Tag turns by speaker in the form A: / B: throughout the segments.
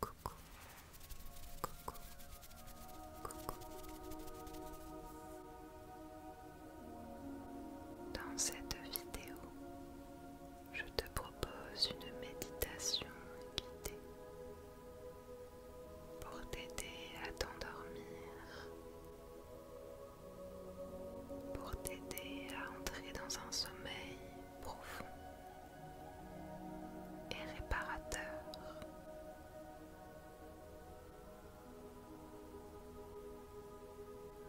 A: Coucou, coucou, coucou. Dans cette vidéo, je te propose une méditation guidée pour t'aider à t'endormir, pour t'aider à entrer dans un sommeil profond et réparateur.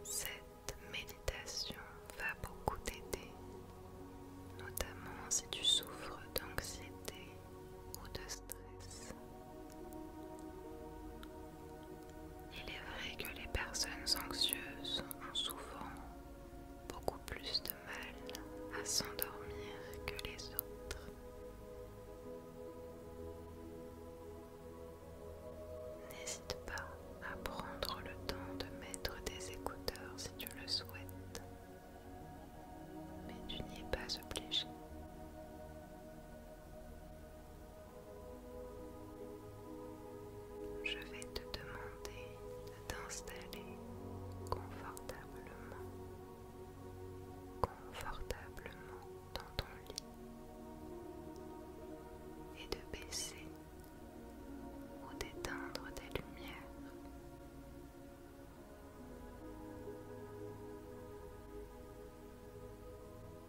A: Cette méditation va beaucoup t'aider, notamment si tu souffres d'anxiété ou de stress. Il est vrai que les personnes anxieuses ont souvent beaucoup plus de mal à s'endormir que les autres. N'hésite pas à prendre le temps de mettre des écouteurs si tu le souhaites, mais tu n'y es pas obligé. Je vais te demander d'installer confortablement, confortablement dans ton lit et de baisser ou d'éteindre des lumières.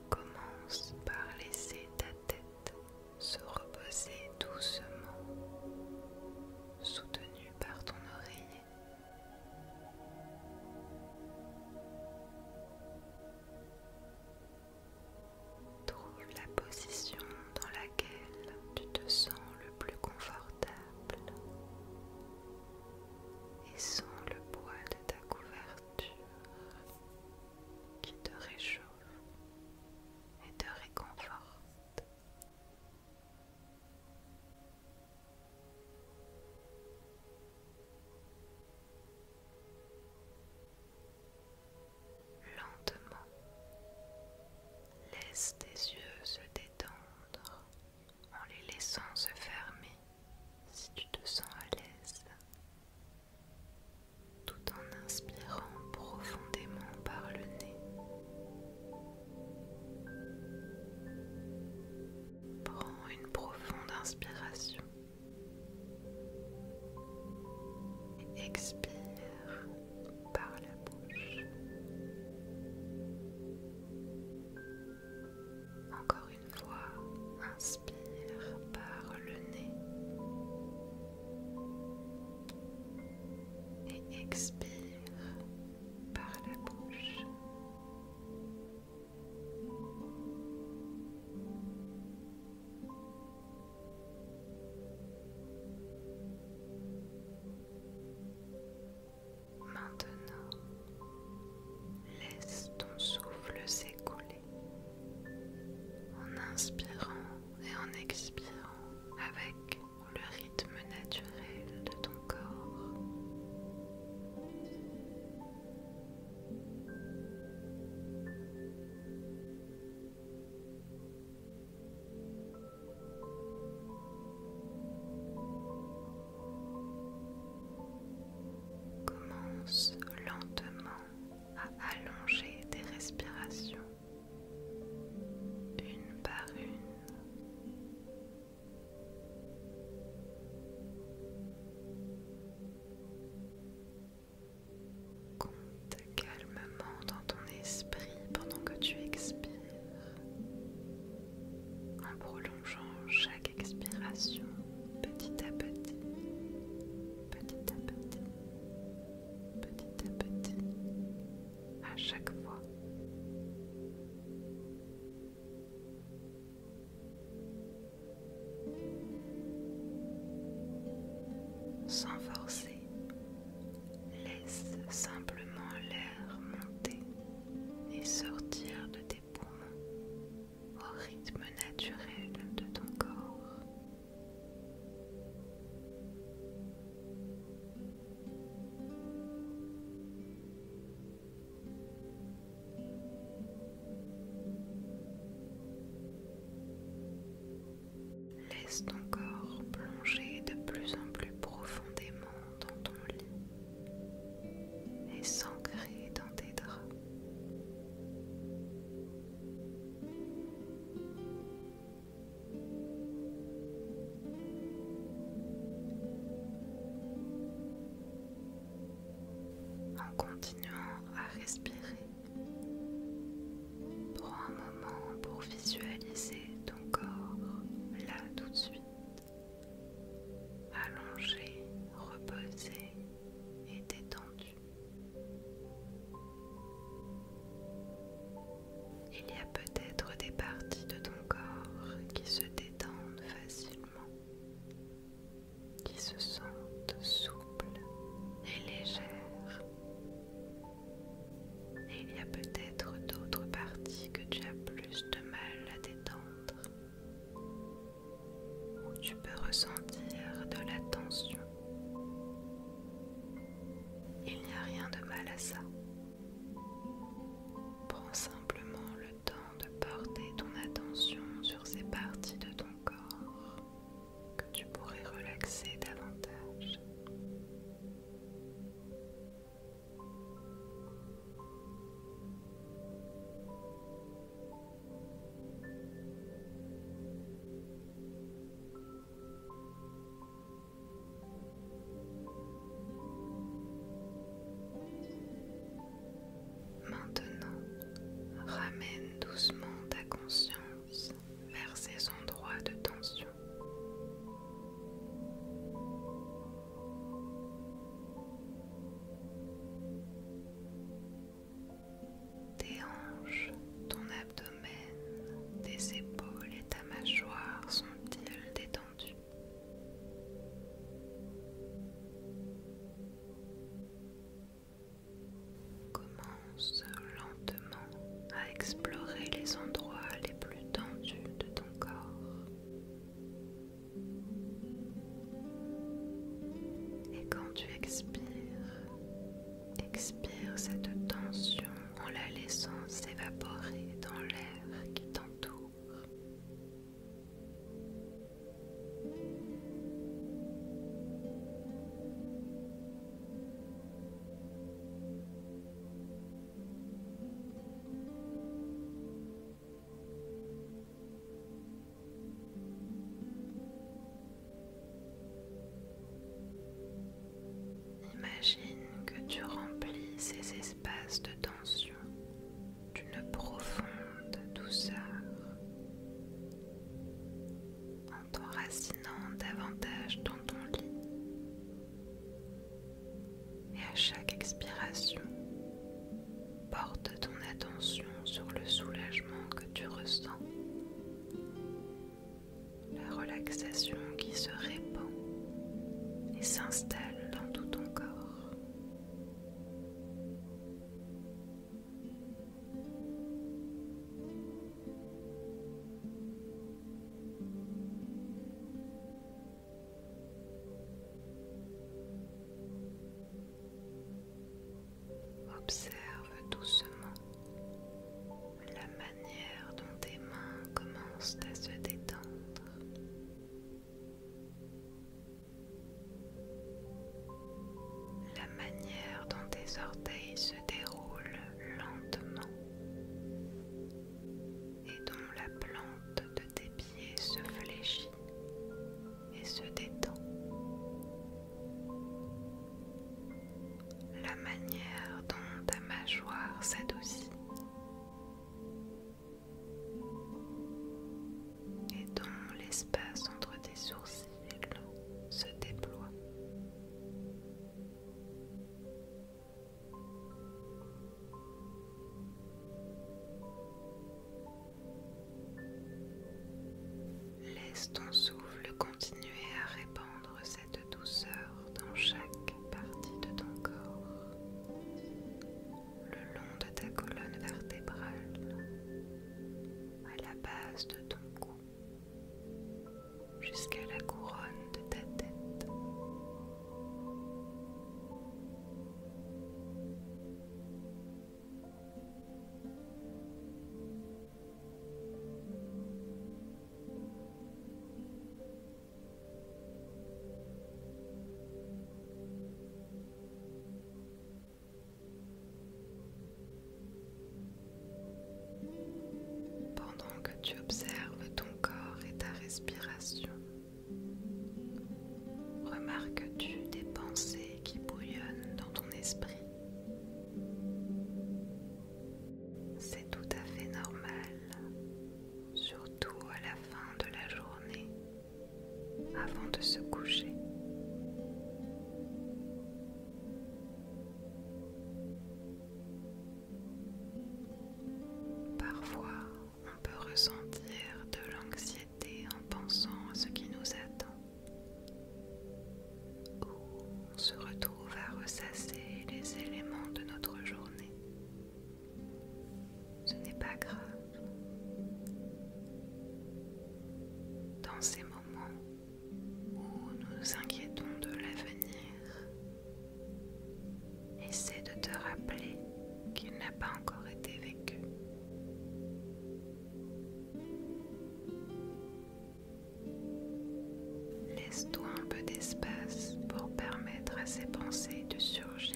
A: Commence par laisser ta tête se reposer doucement, soutenu par ton oreiller. Trouve la position dans laquelle tu te sens le plus confortable et sens le poids de ta couverture qui te réchauffe et te réconforte. Lentement, laisse tes yeux se détendre en les laissant se fermer si tu te sens à l'aise, tout en inspirant profondément par le nez Prends une profonde inspiration. Et expire par la bouche. Encore une fois, inspire par le nez et expire par la bouche. Maintenant, laisse ton souffle s'écouler en inspirant et en expirant avec le rythme naturel de ton corps. Commence lentement à allonger tes respirations une par une. Compte calmement dans ton esprit pendant que tu expires en prolongeant chaque expiration petit à petit, petit à petit, petit à petit, à chaque fois. Sans forcer, laisse simplement l'air monter et sortir de tes poumons au rythme naturel de ton corps Laisse ton corps plonger de plus en plus profondément dans ton lit et s'ancrer dans tes draps. En continuant à respirer, prends un moment pour visualiser ton corps là tout de suite, allongé, reposé et détendu. Il y a peut-être des parties de ton corps qui se détendent facilement, qui se sentent souples et légères. Et il y a peut-être d'autres parties que tu as plus de mal à détendre, où tu peux ressentir de la tension il n'y a rien de mal à ça. Prends simplement le temps de porter ton attention sur ces parties de ton corps que tu pourrais relaxer davantage. Maintenant, ramène doucement ta conscience vers ces endroits de tension. Tes ton abdomen, tes épaules et ta mâchoire sont-ils détendus Commence lentement à explorer les endroits les plus tendus de ton corps. Et quand tu expires, expire cette tension en la laissant s'évaporer dans l'air qui t'entoure. Imagine que tu remplis ces espaces de tension d'une profonde douceur en t'enracinant davantage dans ton lit. Et à chaque expiration, porte ton attention sur le soulagement que tu ressens la relaxation qui se répand et s'installe dans tout ton corps. Observe doucement la manière dont tes mains commencent à se détendre. La manière dont tes orteils se déroulent lentement et dont la plante de tes pieds se fléchit et se détend la manière dont ta mâchoire s'adoucit et dont l'espace entre tes sourcils se déploie. Laisse ton souffle continuer à répandre cette de douceur dans chaque partie de ton corps, le long de ta colonne vertébrale, à la base de ton cou, jusqu'à la couronne de ta tête. Pendant que tu observes ton corps et ta respiration, remarques-tu des pensées qui bouillonnent dans ton esprit c'est tout à fait normal, surtout à la fin de la journée, avant de se coucher. Parfois, on peut ressentir de l'anxiété en pensant à ce qui nous attend on se retrouve à ressasser les éléments de notre journée. Ce n'est pas grave. Dans ces moments où nous nous inquiétons de l'avenir, essaie de te rappeler qu'il n'a pas encore été vécu. Laisse-toi un peu d'espace pour permettre à ces pensées de surgir,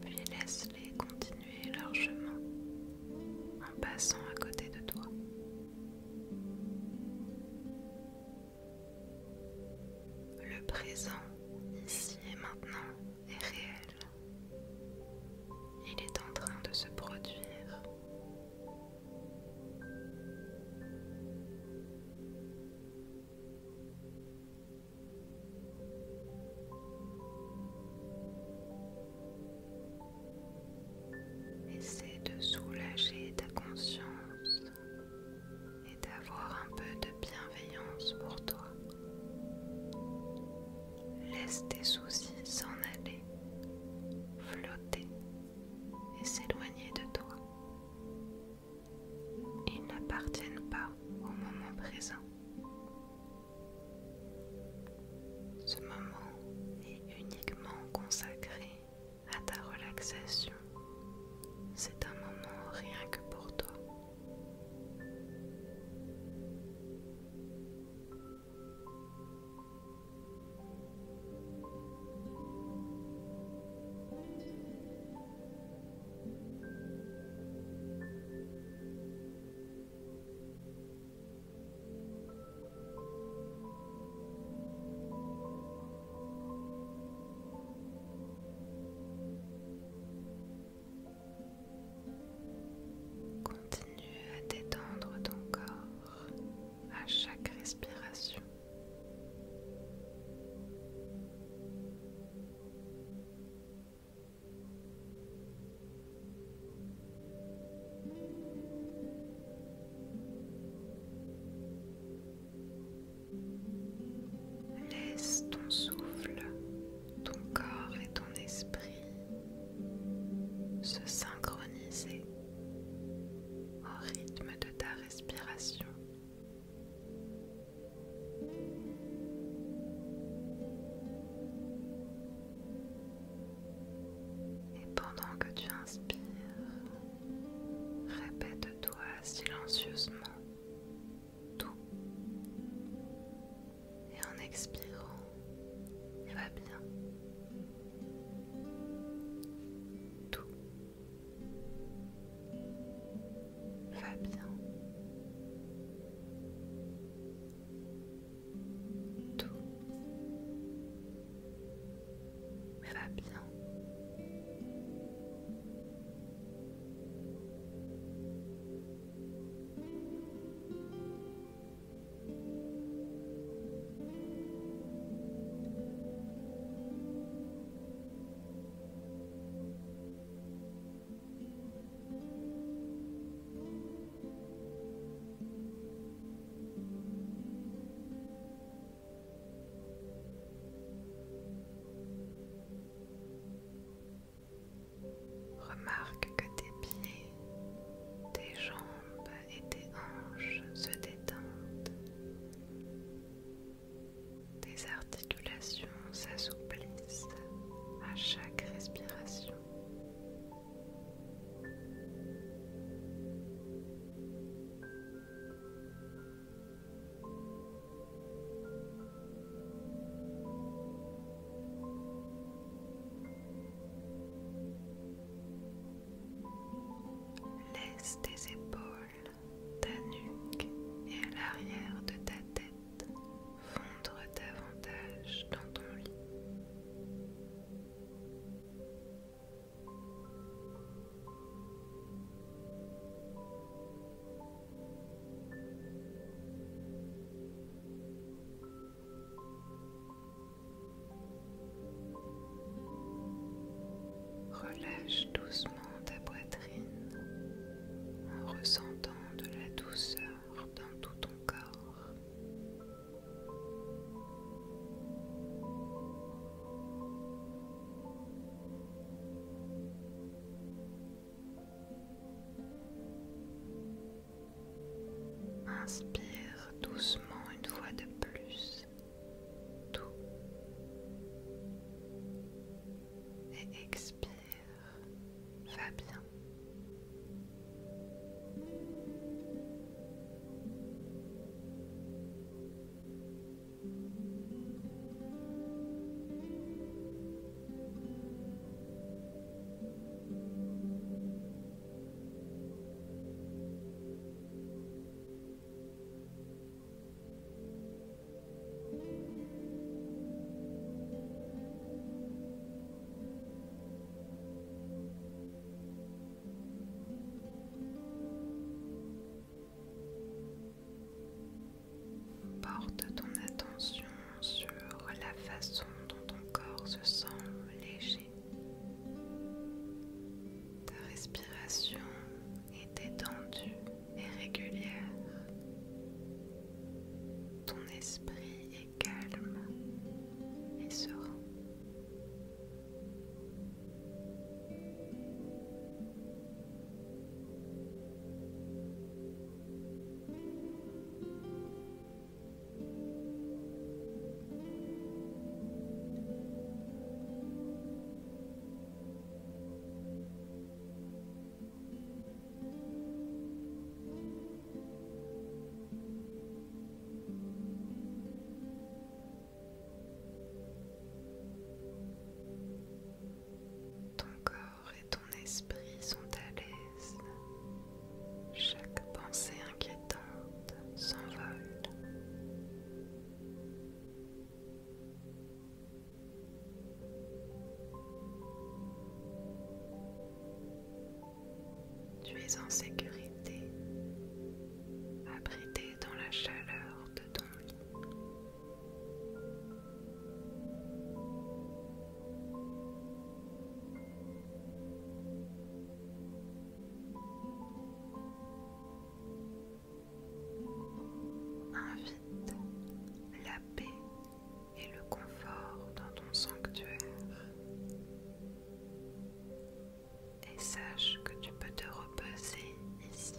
A: puis laisse-les continuer leur chemin en passant à côté de toi. Le présent, ici et maintenant, est réel. Il est en train de se produire Essaie de soulager ta conscience et d'avoir un peu de bienveillance pour toi. Laisse tes soucis s'en aller, flotter et s'éloigner de toi. Ils n'appartiennent pas au moment présent. Ce moment est uniquement consacré à ta relaxation. C'est un moment rien que pour toi. Continue à détendre ton corps à chaque respiration. Laisse ton souffle, ton corps et ton esprit se synchroniser au rythme de ta respiration. Et pendant que tu inspires, répète-toi silencieusement tout. Et en expirant, il va bien. Tout va bien. Tout va bien. Remarque que tes pieds, tes jambes, et tes hanches se détendent. Tes articulations s'assouplissent à chaque respiration. Laisse tes épaules, ta nuque et à l'arrière de ta tête fondre davantage dans ton lit. Relâche doucement ta poitrine en ressentant de la douceur dans tout ton corps. Inspire doucement une fois de plus tout et expire, va bien. Porte ton attention sur la façon dont ton corps se sent léger ta respiration est étendue et régulière. Ton esprit est calme et serein. Ton corps et ton esprit sont à l'aise. Chaque pensée inquiétante s'envole. Tu es en sécurité, abrité dans la chaleur de ton lit. Invite la paix et le confort dans ton sanctuaire. Et sache que tu peux te reposer ici.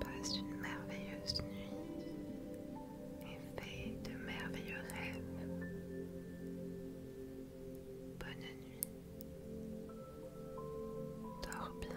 A: Passe une merveilleuse nuit et fais de merveilleux rêves. Bonne nuit. Dors bien.